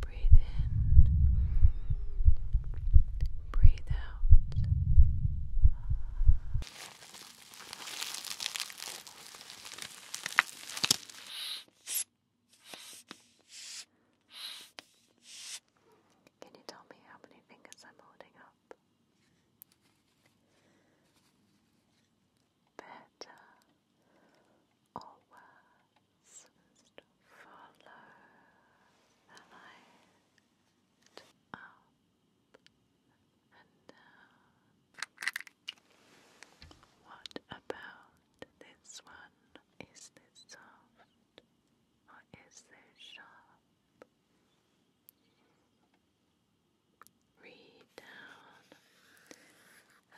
Breathe in, breathe out. Can you tell me how many fingers I'm holding up? Better always just follow the light up and down. What about this one? Is this soft or is this sharp? Read down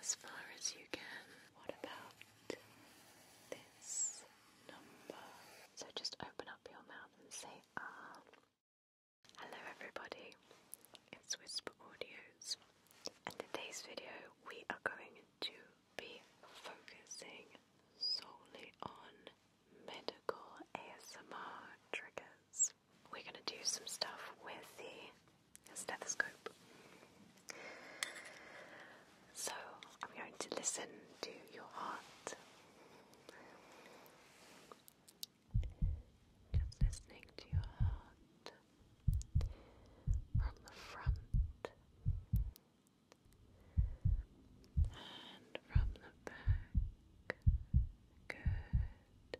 as far as you can. What about this number? So just open up your mouth and say ah. Hello everybody, it's Whisper Audios. In today's video we are going to be focusing solely on medical ASMR triggers. We're going to do some stuff with the a stethoscope. So I'm going to listen to your heart. Just listening to your heart from the front and from the back. Good.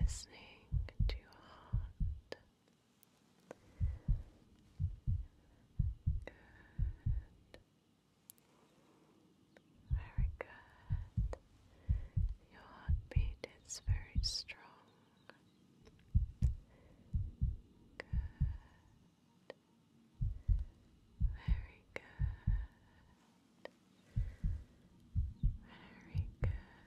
Listening to your heart Good. Very good. Your heartbeat is very strong. Good. Very good. Very good.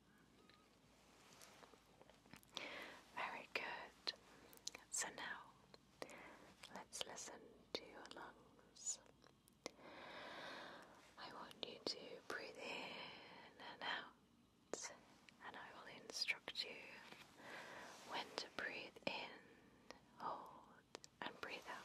Very good. So now let's listen to your lungs. I want you to breathe in and out, and I will instruct you when to breathe in, hold, and breathe out.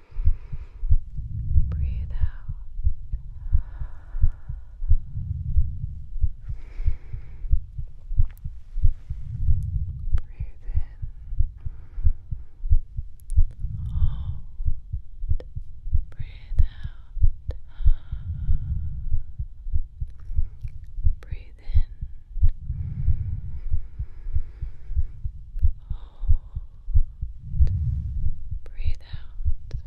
Breathe out. Breathe in. Hold. Breathe out. Breathe in. Hold. Breathe out. Good.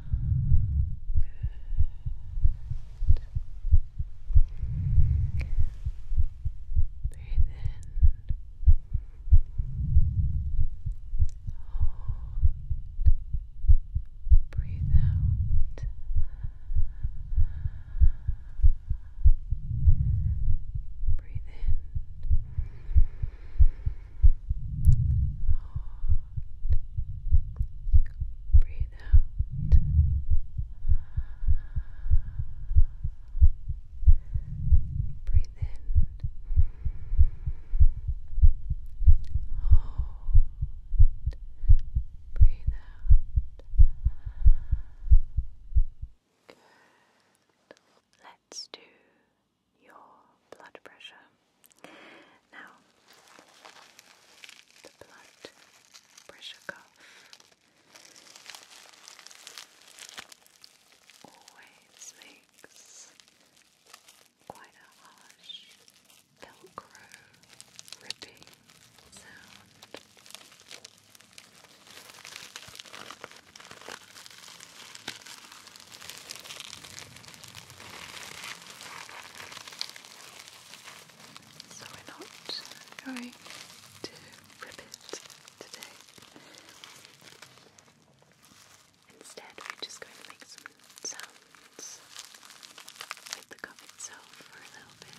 Breathe in. Hold. Breathe out. Good. Breathe in. Hold. Breathe out. Breathe in. Hold. Breathe out. Let's do your blood pressure. Now, the blood pressure cuff always makes quite a harsh velcro ripping sound. So we're not going to rip it today. Instead, we're just going to make some sounds with the cup for a little bit.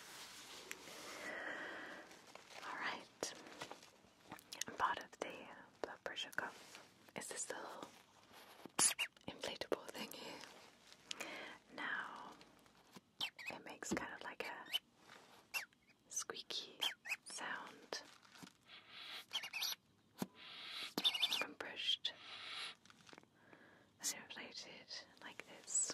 Alright. Part of the pressure cuff is this little inflatable thing here. Now it makes kind of like a squeaky sound when pushed. As inflated like this.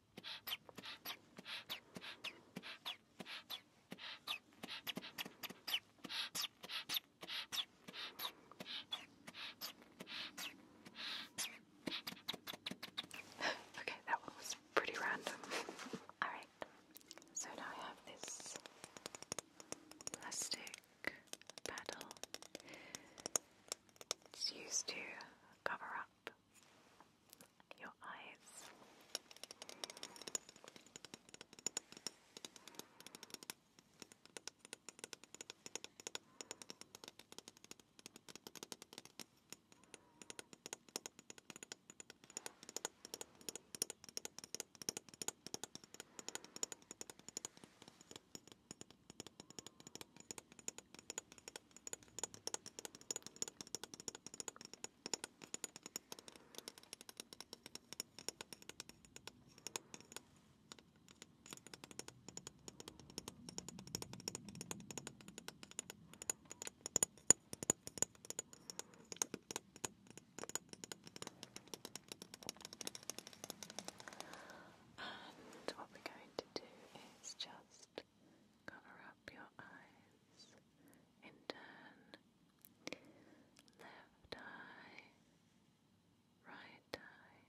okay, that one was pretty random. Alright, so now I have this plastic paddle. It's used to cover up your eyes. And what we're going to do is just cover up your eyes in turn. Left eye, right eye,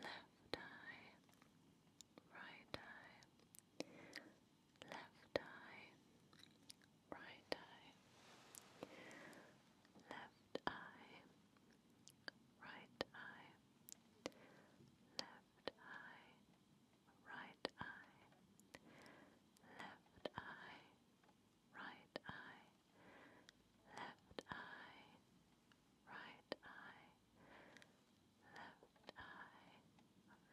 left eye, right eye, left eye, right eye, left eye, right eye, left eye right eye, left eye, right eye, left eye, right eye, left eye,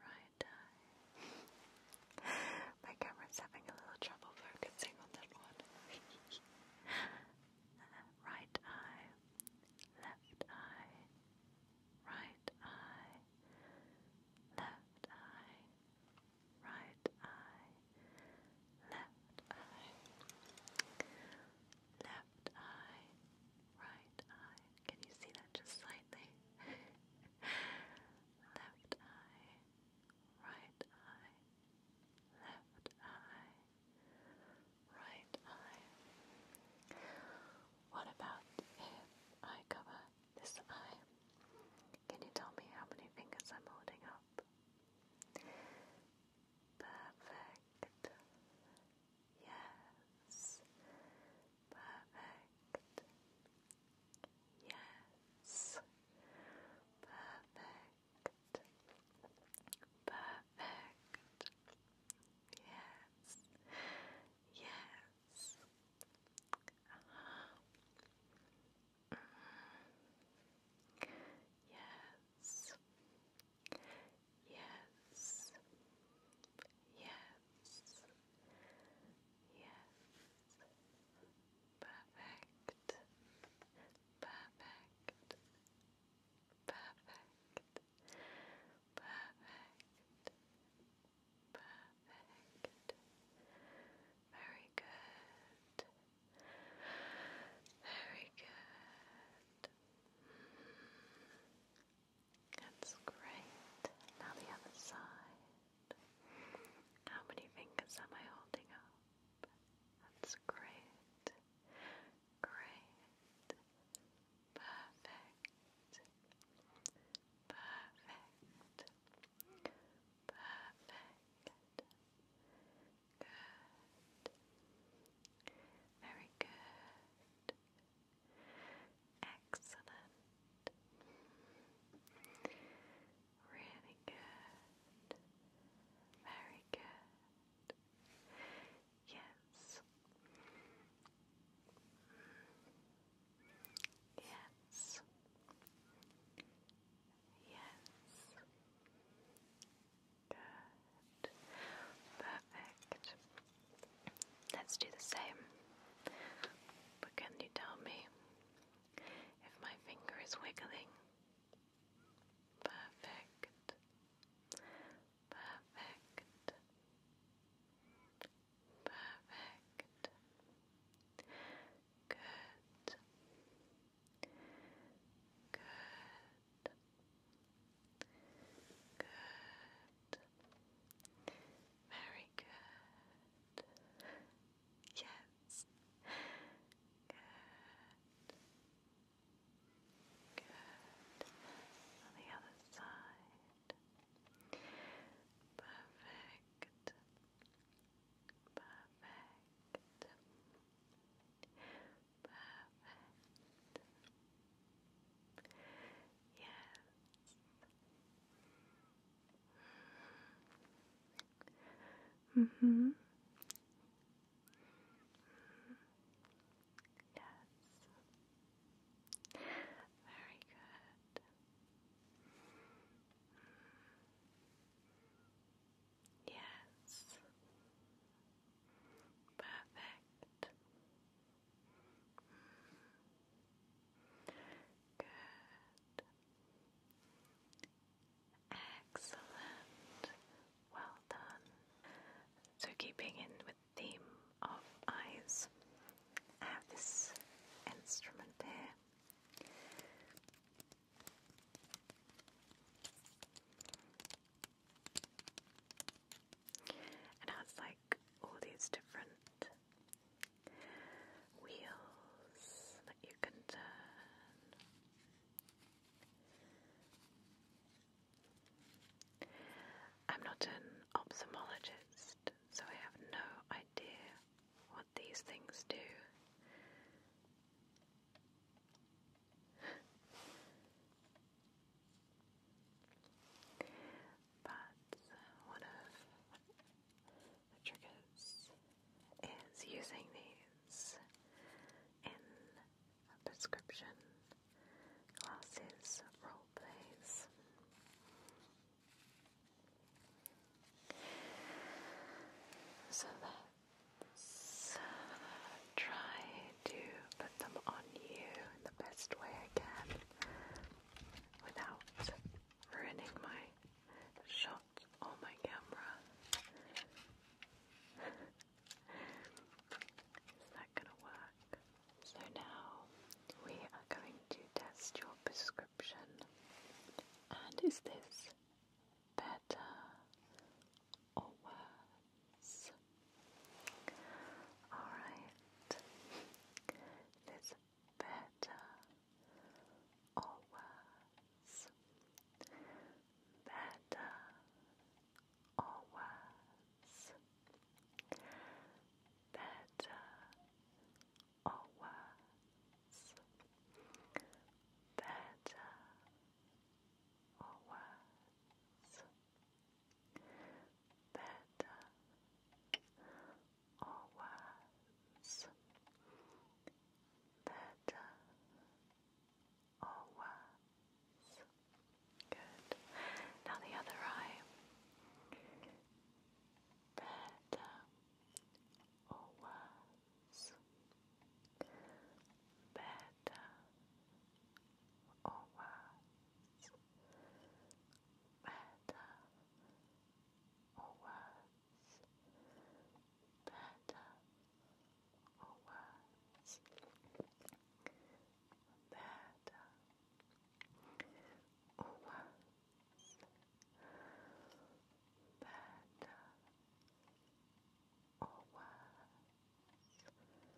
right eye. My camera's having a little trouble focusing on that one. right eye, left eye, right eye, left eye, right eye, left eye, left eye, right eye. Can you see that just slightly? left eye, right eye, left eye, right eye. What about if I cover this eye? Can you tell me how many fingers I'm holding up? Perfect. Yes. Perfect. Yes. Perfect. Perfect. Yes. Yes. uh Yes. Yes. Yes. Yes. Perfect. Perfect. Perfect. Perfect. Perfect. Very good. Very good. That's great. Now the other side. How many fingers am I holding up? That's great. Great perfect, perfect, perfect, good, very good, excellent, really good, very good. Yes. Yes. Yes. Good. Perfect. Let's do the same. But can you tell me if my finger is wiggling? Perfect. Perfect. Perfect. Good. Good. Good. Very good. Yes. Good. Good. On the other side. Perfect. Perfect. Perfect. Yes. Mm-hmm. Mm -hmm. Yes. Very good. Yes. Perfect. Good. Excellent. Well done. So, keeping in with theme of eyes. I uh, have this instrument here. It has like all these different wheels that you can turn. I'm not an ophthalmologist, so I have no idea what these things do. but uh, one of the triggers is using these in a prescription classes, role plays. So let's uh, try to put them on you in the best way I can without ruining my shot on my camera. Is that gonna work? So now we are going to test your prescription. And is this better or worse? Alright. This better or worse? Better or worse, better or worse, better or worse, better or worse, better or worse. Good. Now the other eye. Better uh, or oh, worse? Better uh, or oh, worse? Better uh, or oh, worse? Better or worse? Better was better or was better or was that testing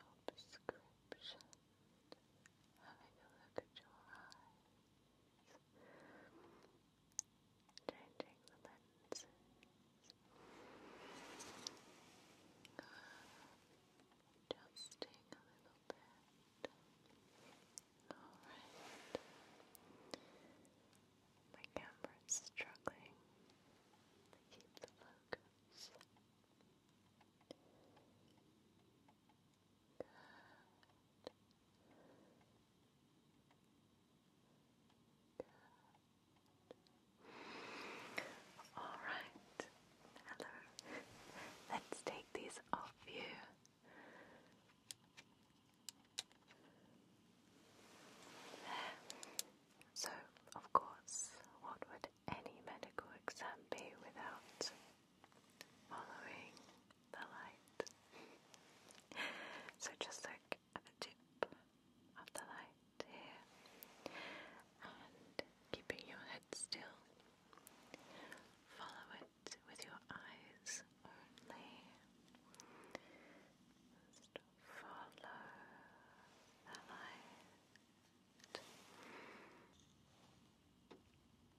your prescription Having a look at your eyes, changing the lenses. Adjusting a little bit. Alright. My camera is struggling to keep the focus. Good. Good. All right. Hello. Let's take these off you. There. So, of course, what would any medical exam be without following the light? so just look at the tip of the light here and keeping your head still, follow it with your eyes only. follow the light. Just follow the light.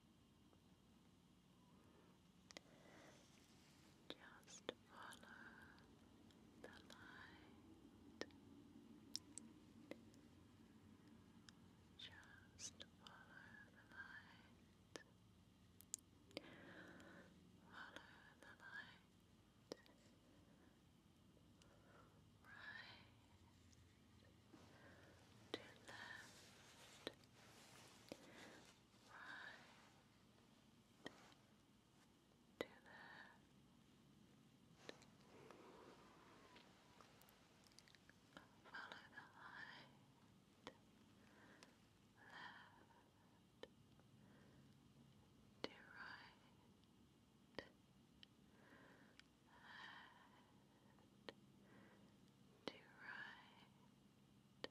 Just follow the light. Follow the light. Right to left, right, to left. Follow the light, left, to right. To and to right, left, to right. Good.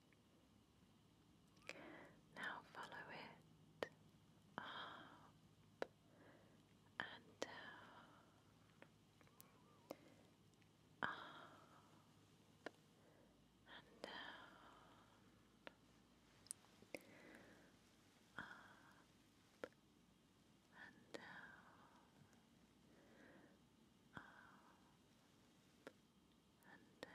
Now follow it up and down, up and down, up and down, and down,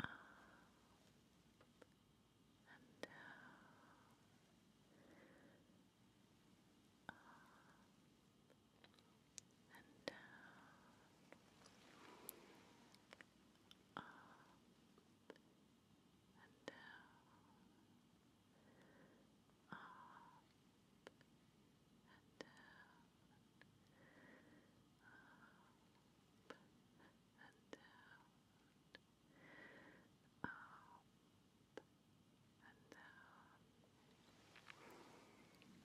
up and down, up and down, up and down, up and down, up and down, up and down, up and down,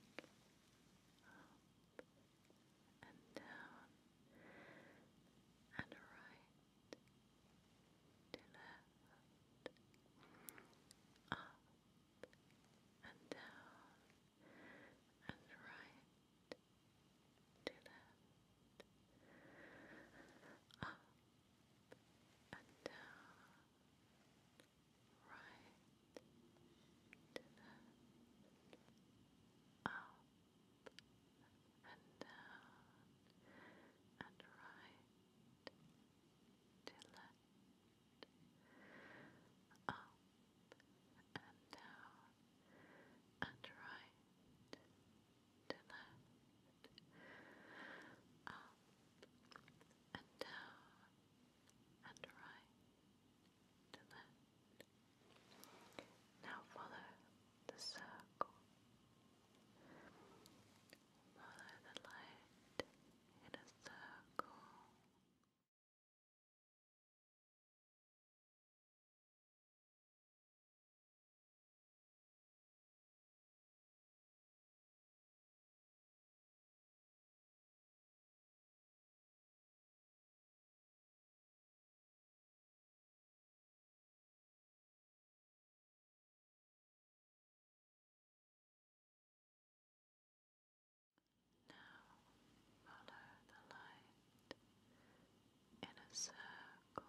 and right to left, up and down and right to left, up and down, right to left, up and down and right to left up and down and right to left, up and down and right to left. Now follow the circle. Follow the light in a circle. Now follow the light in a circle.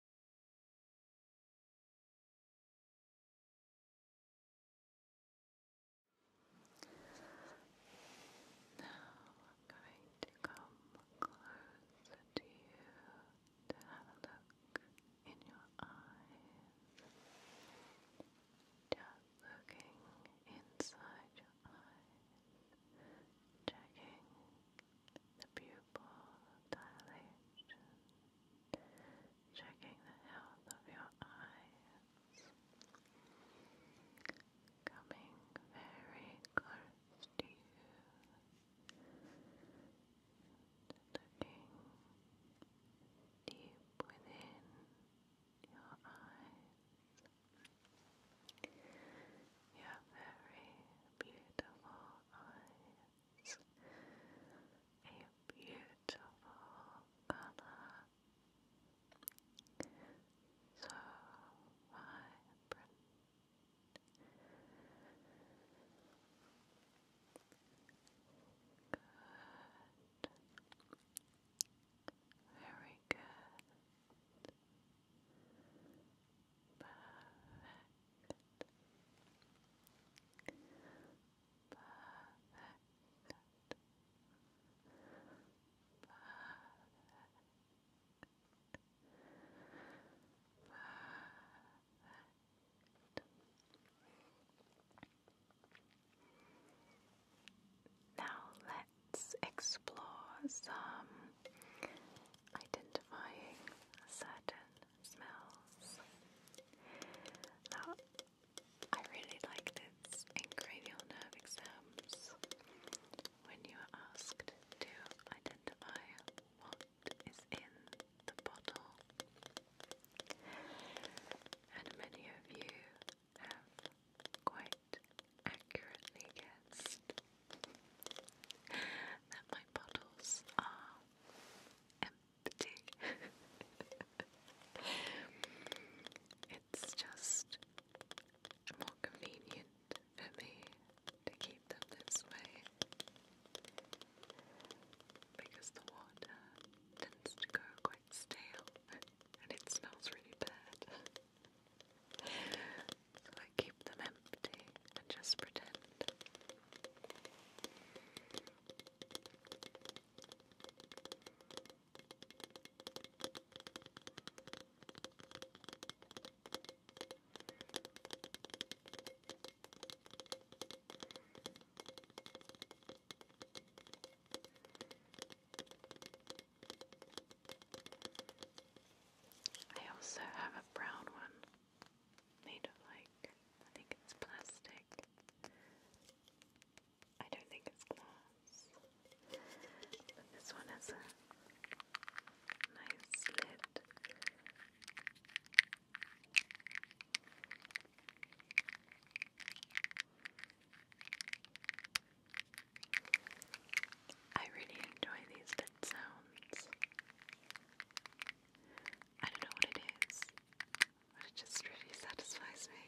Now I'm going to come closer to you to have a look in your eyes. Just looking inside your eyes, checking the pupil dilation checking the health of your eyes, coming very close to you, looking deep within your eyes. Your very beautiful eyes a beautiful color, so vibrant. Good. Very good. Perfect. Now let's explore some identifying certain smells. I really like this in cranial nerve exams when you are asked to identify what is in the bottle. And many of you have quite accurately guessed that my bottles are empty. it's just more convenient for me to keep them this way because the water tends to go quite stale and it smells really bad. so I keep them empty and just pretend. I also have a brown one made of like, I think it's plastic. I don't think it's glass. this one has a nice lid. I really enjoy these lid sounds. I don't know what it is it just really satisfies me.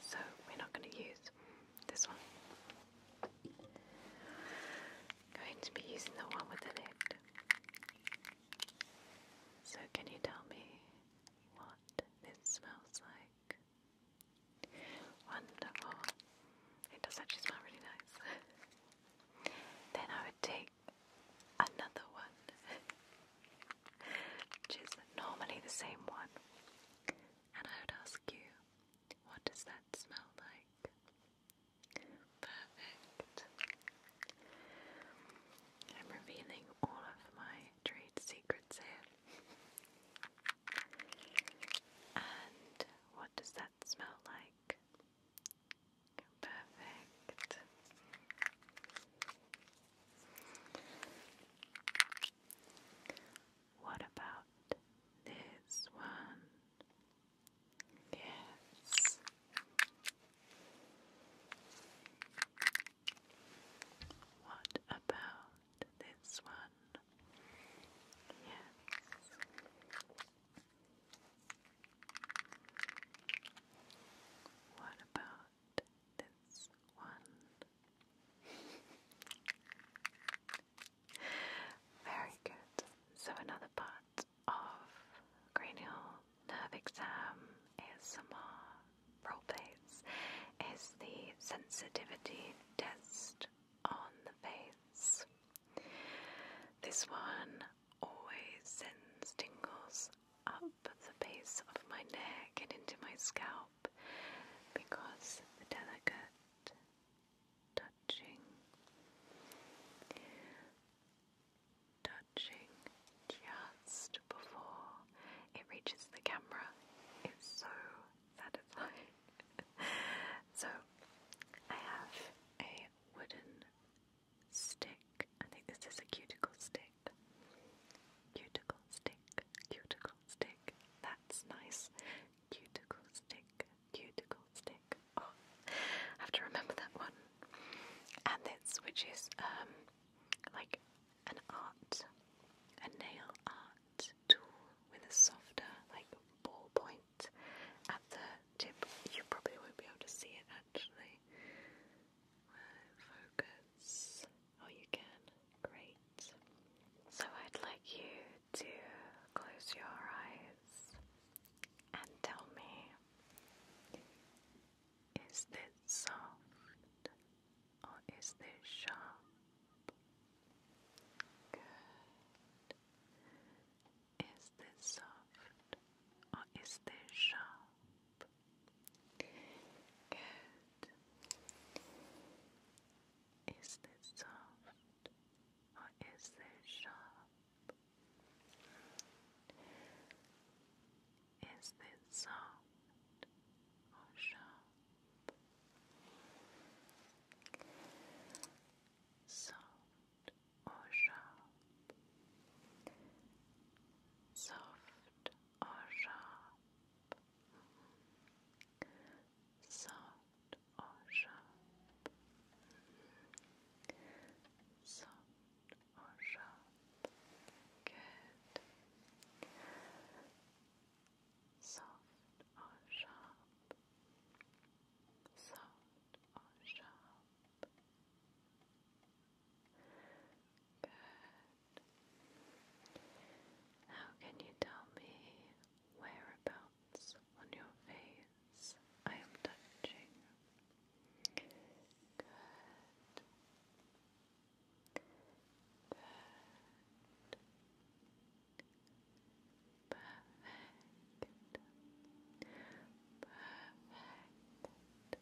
So we're not going to use this one. Going to be using the one with the lid. So can you tell me what this smells like? Wonderful. It does actually smell really nice. then I would take another one, which is normally the same one, and I would ask you, what does that smell like? Perfect. I'm revealing all of my trade secrets here. And what does that smell like? Perfect. What about this one? Yes. What about this one? Yes. What about this one? Very good. So, another part of cranial nerve exam is some more roleplays is the sensitivity test on the face. This one always sends tingles up the base of my neck and into my scalp because the delicate touching touching just before it reaches the camera it's so satisfying. so, I have a wooden stick. I think this is a cuticle stick. Cuticle stick, cuticle stick. That's nice. Cuticle stick, cuticle stick. Oh, I have to remember that one. And this, which um, like an art, a nail art tool with a softer like ball at the tip. You probably won't be able to see it actually. focus. Oh, you can. Great. So I'd like you to close your eyes and tell me is this soft or is this sharp? Good. Is this soft or is this sharp? Good. Is this soft or is this sharp? Is this soft or sharp? Soft or sharp? Soft or sharp? Soft or sharp? Soft or sharp? Good. Soft or sharp? Soft or sharp? Good. Now, can you tell me whereabouts on your face I am touching? Good. Perfect. Perfect. Perfect. Perfect. Good.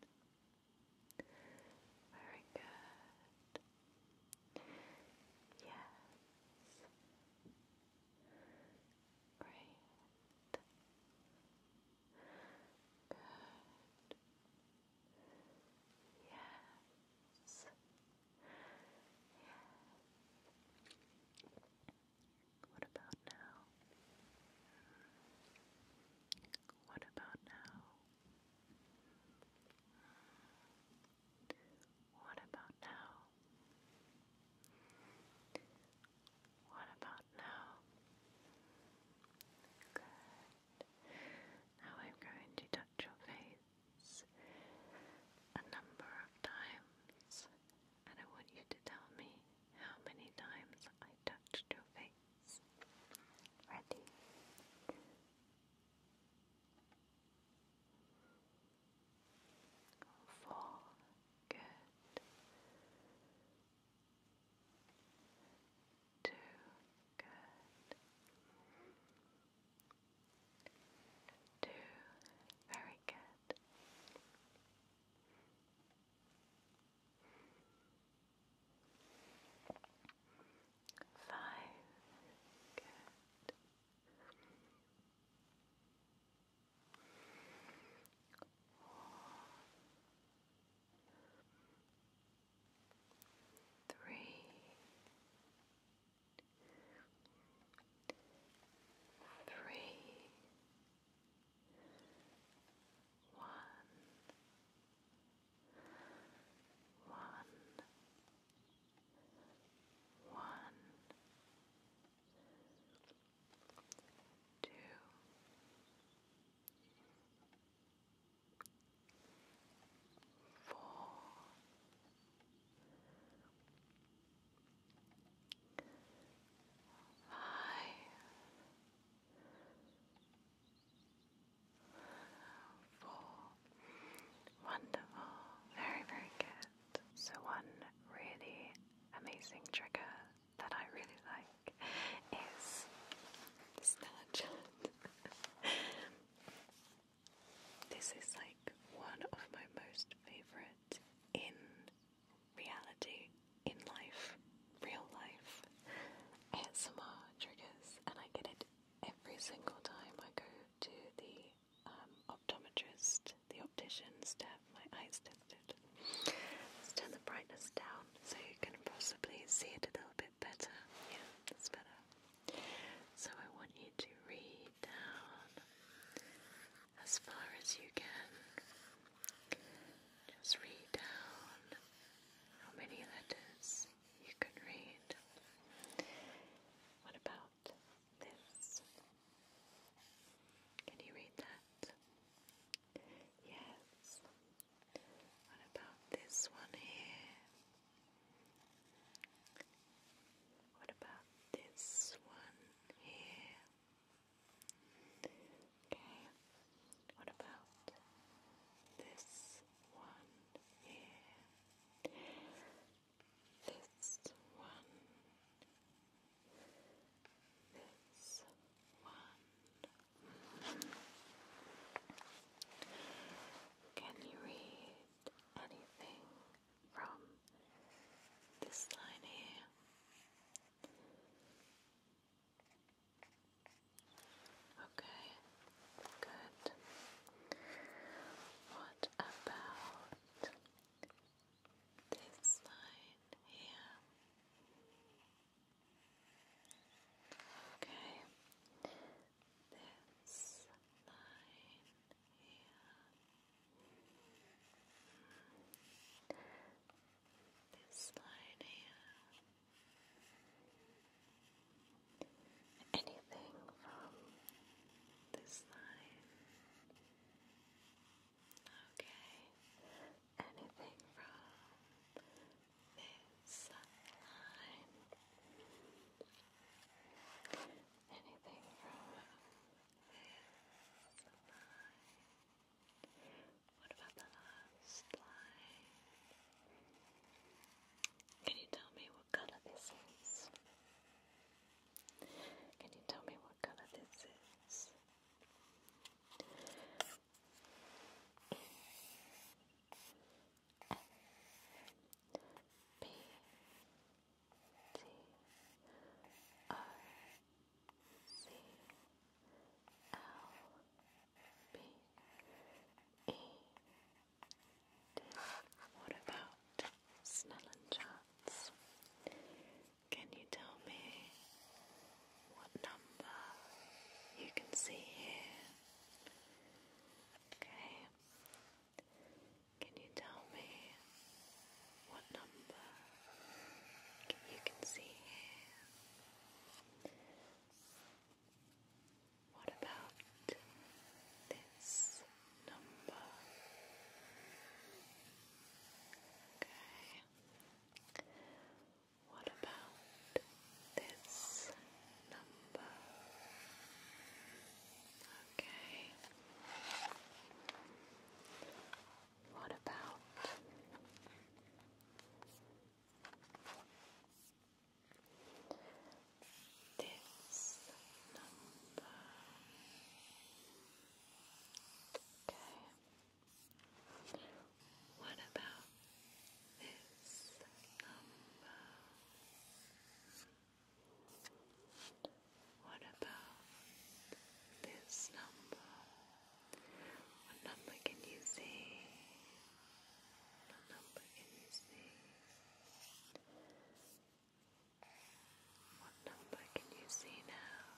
Good. Very good. Yes. Great. Good. Yes. What about now? What about now? What about now? What about now? Good. Now I'm going to touch your face a number of times, and I want you to tell me how many times I touched your face. Ready? Four. Good. Two. Good. Two. Very good. Five. Good. Four. Three. Three one, one, one, two. Four, five, Four. Wonderful. Very, very good. So, one really amazing trigger that I really like is Snapchat. this is like one of my most favorite in reality in life, real life, ASMR triggers, and I get it every single time I go to the um, optometrist, the opticians, to have my eyes tested. Let's turn the brightness down so you can possibly see it a little bit better. Yeah, that's better. So I want you to read down as far as you can just read down how many letters you can read. What about this? Can you read that? Yes. What about this one here? What about this one here? Okay, what about this one here? This one, this one. Can you read anything from this line here? Okay, good. What about this line here? Okay, this line here. Hmm this line anything from this line, okay, anything from this line, anything from this line. What about the last line? Can you tell me what color this is? Can you tell me what color this is? E P T O N C-L-B-E. What about Snell and Can you tell me what number you can see here? Okay. Can you tell me what number you can see here? What about this number? Okay. What about this number? Okay. What about this number? Okay. What about this number? What about this number? What number can you see? What number can you see? What number can you see now?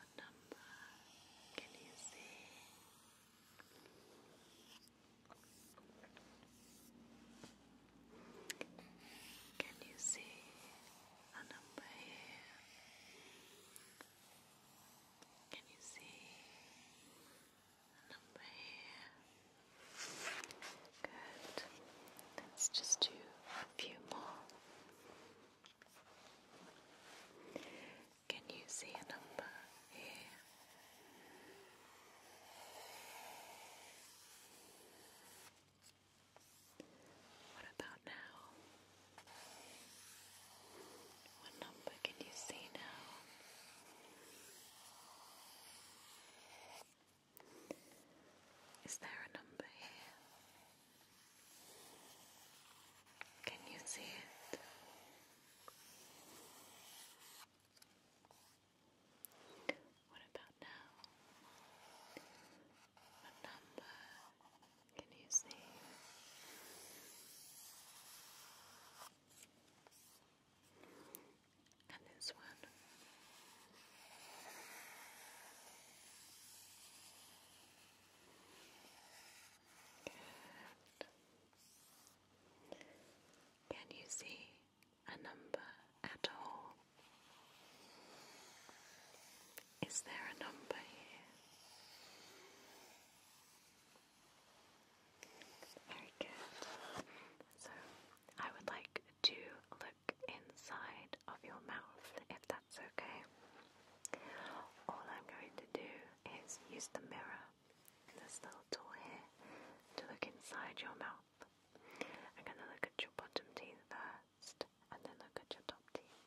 What number can you see? Can you see a number here. Can you see a number here? Good. Let's just do a few more. Can you see a number here? What about now? What number can you see now? Is there a number here? Can you see it? What about out now. What number can you see? And this one. Good. Can you see a number at all? Is there a number here? Very good. So I would like to look inside of your mouth if that's okay. All I'm going to do is use the mirror, this little tool here, to look inside your mouth. I'm going to look at your bottom teeth there and then look at your top teeth.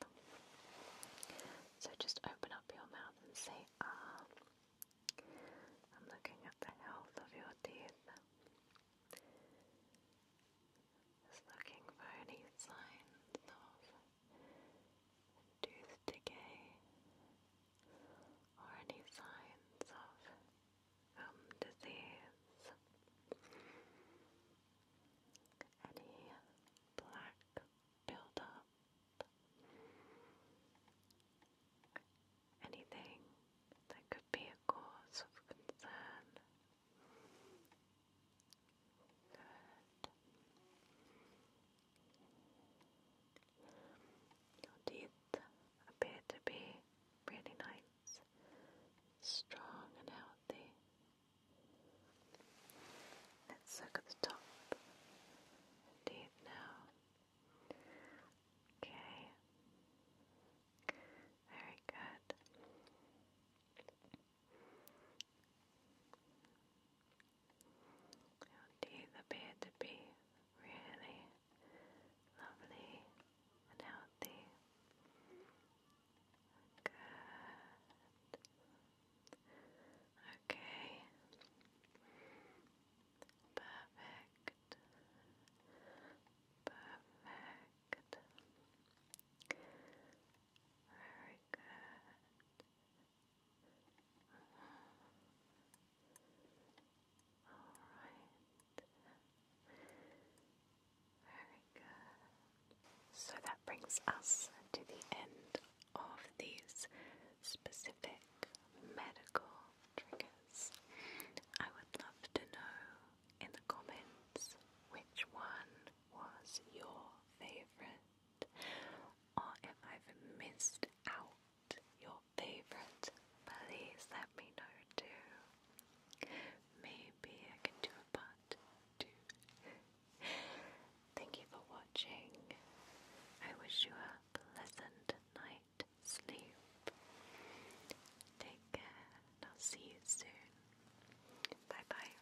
So just open up your mouth and say ah. I'm looking at the health of your teeth. looking for any signs of tooth decay or any signs of um, disease any black buildup, anything that could be a cause of concern. Good. Your teeth appear to be really nice, strong and healthy. Let's look at the top deep now. Okay. Very good. Your teeth appear to be really lovely and healthy. Good. Okay. Perfect. Perfect. Very good. All right. Very good. So that brings us to the end of these specific medical triggers. I would love to know in the comments which one was your favorite or if I've missed out your favorite. Please let me know too. Maybe maybe I can do a part two. Thank you for watching. I wish you a pleasant night sleep. Take care, and I'll see you soon. Bye bye.